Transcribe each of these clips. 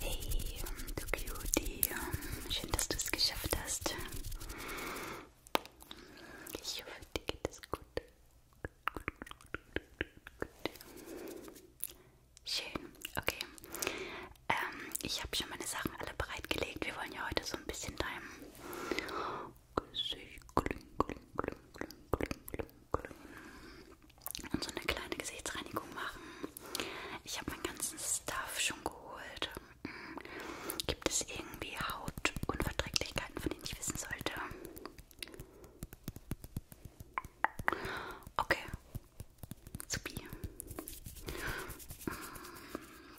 Hey, du Cutie. Schön, dass du es geschafft hast. Ich hoffe, dir geht es gut. Schön, okay. Ähm, ich habe schon meine Sachen alle bereitgelegt. Wir wollen ja heute so ein bisschen deinem Gesicht. Kling, kling, kling, kling, kling, kling, kling. Und so eine kleine Gesichtsreinigung machen. Ich habe meinen ganzen Stuff schon geholt. Mhm. Gibt es irgendwie Hautunverträglichkeiten, von denen ich wissen sollte? Okay. Zubi.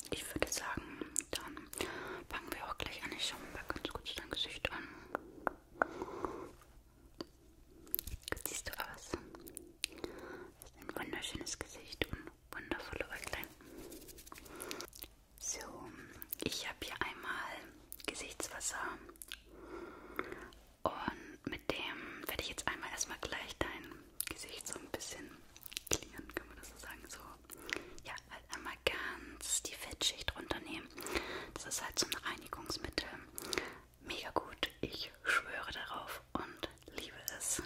Ich würde sagen, dann fangen wir auch gleich an. Ich schaue mir mal ganz kurz dein Gesicht an. Gut siehst du aus. Das ist ein wunderschönes Gesicht und wundervolle Äuglein. So, ich habe hier einmal Gesichtswasser und mit dem werde ich jetzt einmal erstmal gleich dein Gesicht so ein bisschen klären, kann man das so sagen, so ja, halt einmal ganz die Fettschicht runternehmen. Das ist halt so ein Reinigungsmittel. Mega gut. Ich schwöre darauf und liebe es.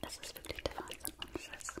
Das ist wirklich der Wahnsinn und Schiss.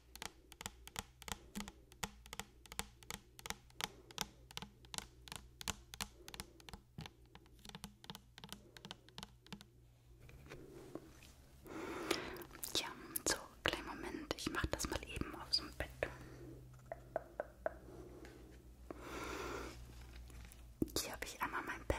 Ja, so, kleinen Moment, ich mache das mal eben auf so einem Bett. Hier habe ich einmal mein Bett.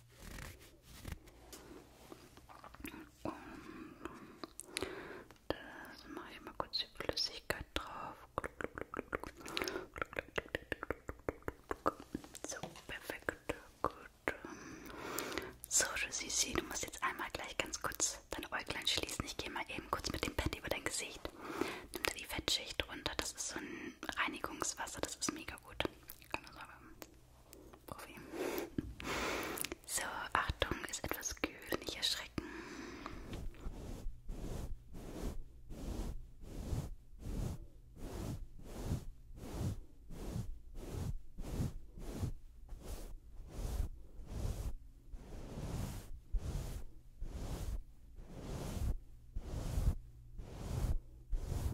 Und das mache ich mal kurz die Flüssigkeit drauf. So, perfekt. Gut. So, Rosisi, du musst jetzt einmal gleich ganz kurz deine Äuglein schließen. Ich gehe mal eben kurz mit dem Pad über dein Gesicht. Nimm da die Fettschicht runter. Das ist so ein Reinigungswasser. Das ist mega ja gut. Kann man sagen. Profi. So, Achtung, ist etwas kühl, nicht erschrecken.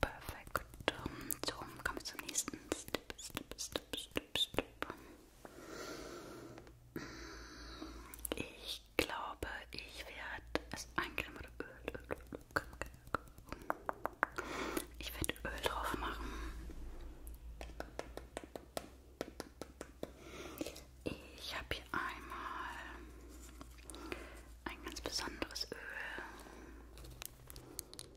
Perfekt. So, kommen wir zum nächsten Step, Step, Step, Step, Step. Ich glaube, ich werde es also eincremen oder Öl, Öl, Öl. Ich werde Öl drauf machen. Ich habe hier einmal ein ganz besonderes Öl.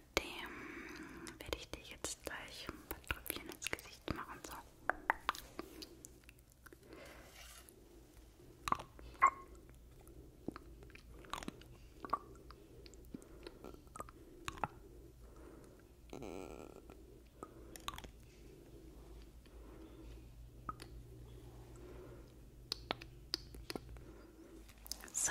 mit dem werde ich dir jetzt gleich ein paar Tröpfchen ins Gesicht machen. So. So,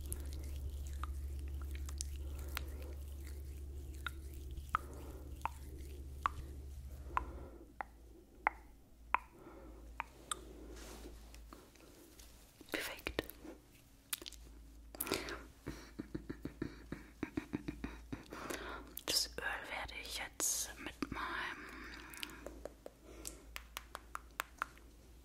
Perfekt. Das Öl werde ich jetzt mit meinem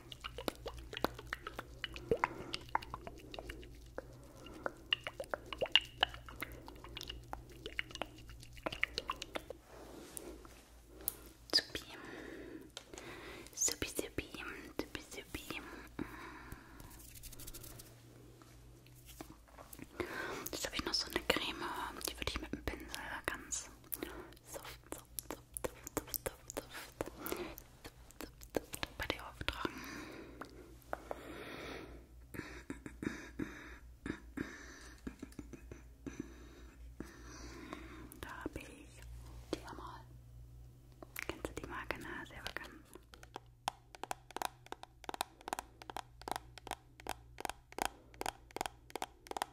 Supi. Supi, supi, supi, supi. Jetzt habe ich noch so eine Creme, die würde ich mit dem Pinsel ganz soft, soft, soft, soft, soft, soft, soft bei dir auftragen. Da habe ich die Amal. Kennst du die Marke? Na, sehr bekannt.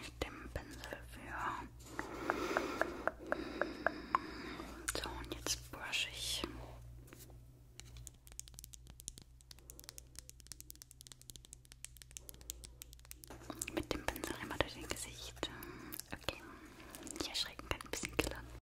ich den Pinsel für. So, und jetzt brush ich. Mit dem Pinsel immer durch den Gesicht. Okay, die erschrecken kann ein bisschen killern.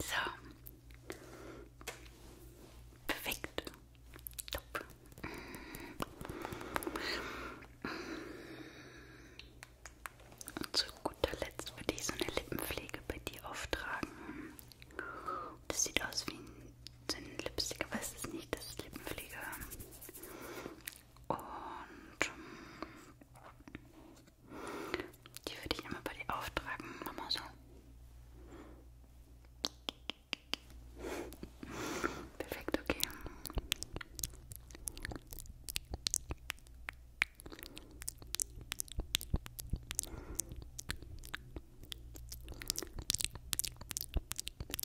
So. Perfekt. Top. Und zu guter Letzt würde ich so eine Lippenpflege bei dir auftragen. Das sieht aus wie ein, so ein Lipstick, aber es ist nicht, das ist Lippenpflege. Und die würde ich immer bei dir auftragen. Mach mal so. Perfekt, okay.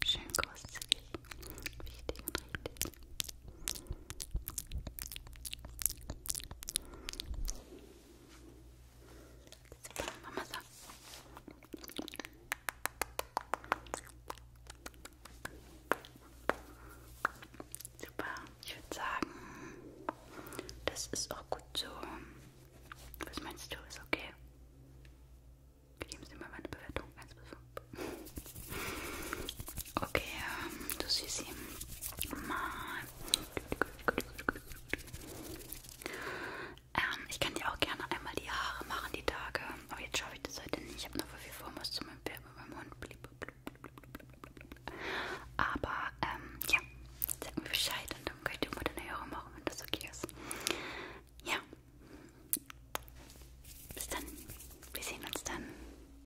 Schön großzügig. Wichtig und richtig. Super, Mama so. Super, ich würde sagen, das ist auch gut so. Was meinst du, ist okay? Wir geben Sie mal meine Bewertung 1 bis 5. Okay, ähm, du siehst ihn mal. Ähm, ich kann dir auch gerne einmal die Haare machen, die Tage. Aber jetzt schaffe ich das heute nicht. Ich habe noch viel vor, muss zu meinem Pferd mit meinem Hund. Aber, ähm, ja, sag mir Bescheid und dann könnt ihr mal deine Haare machen, wenn das okay ist. Ja. Bis dann. Wir sehen uns dann.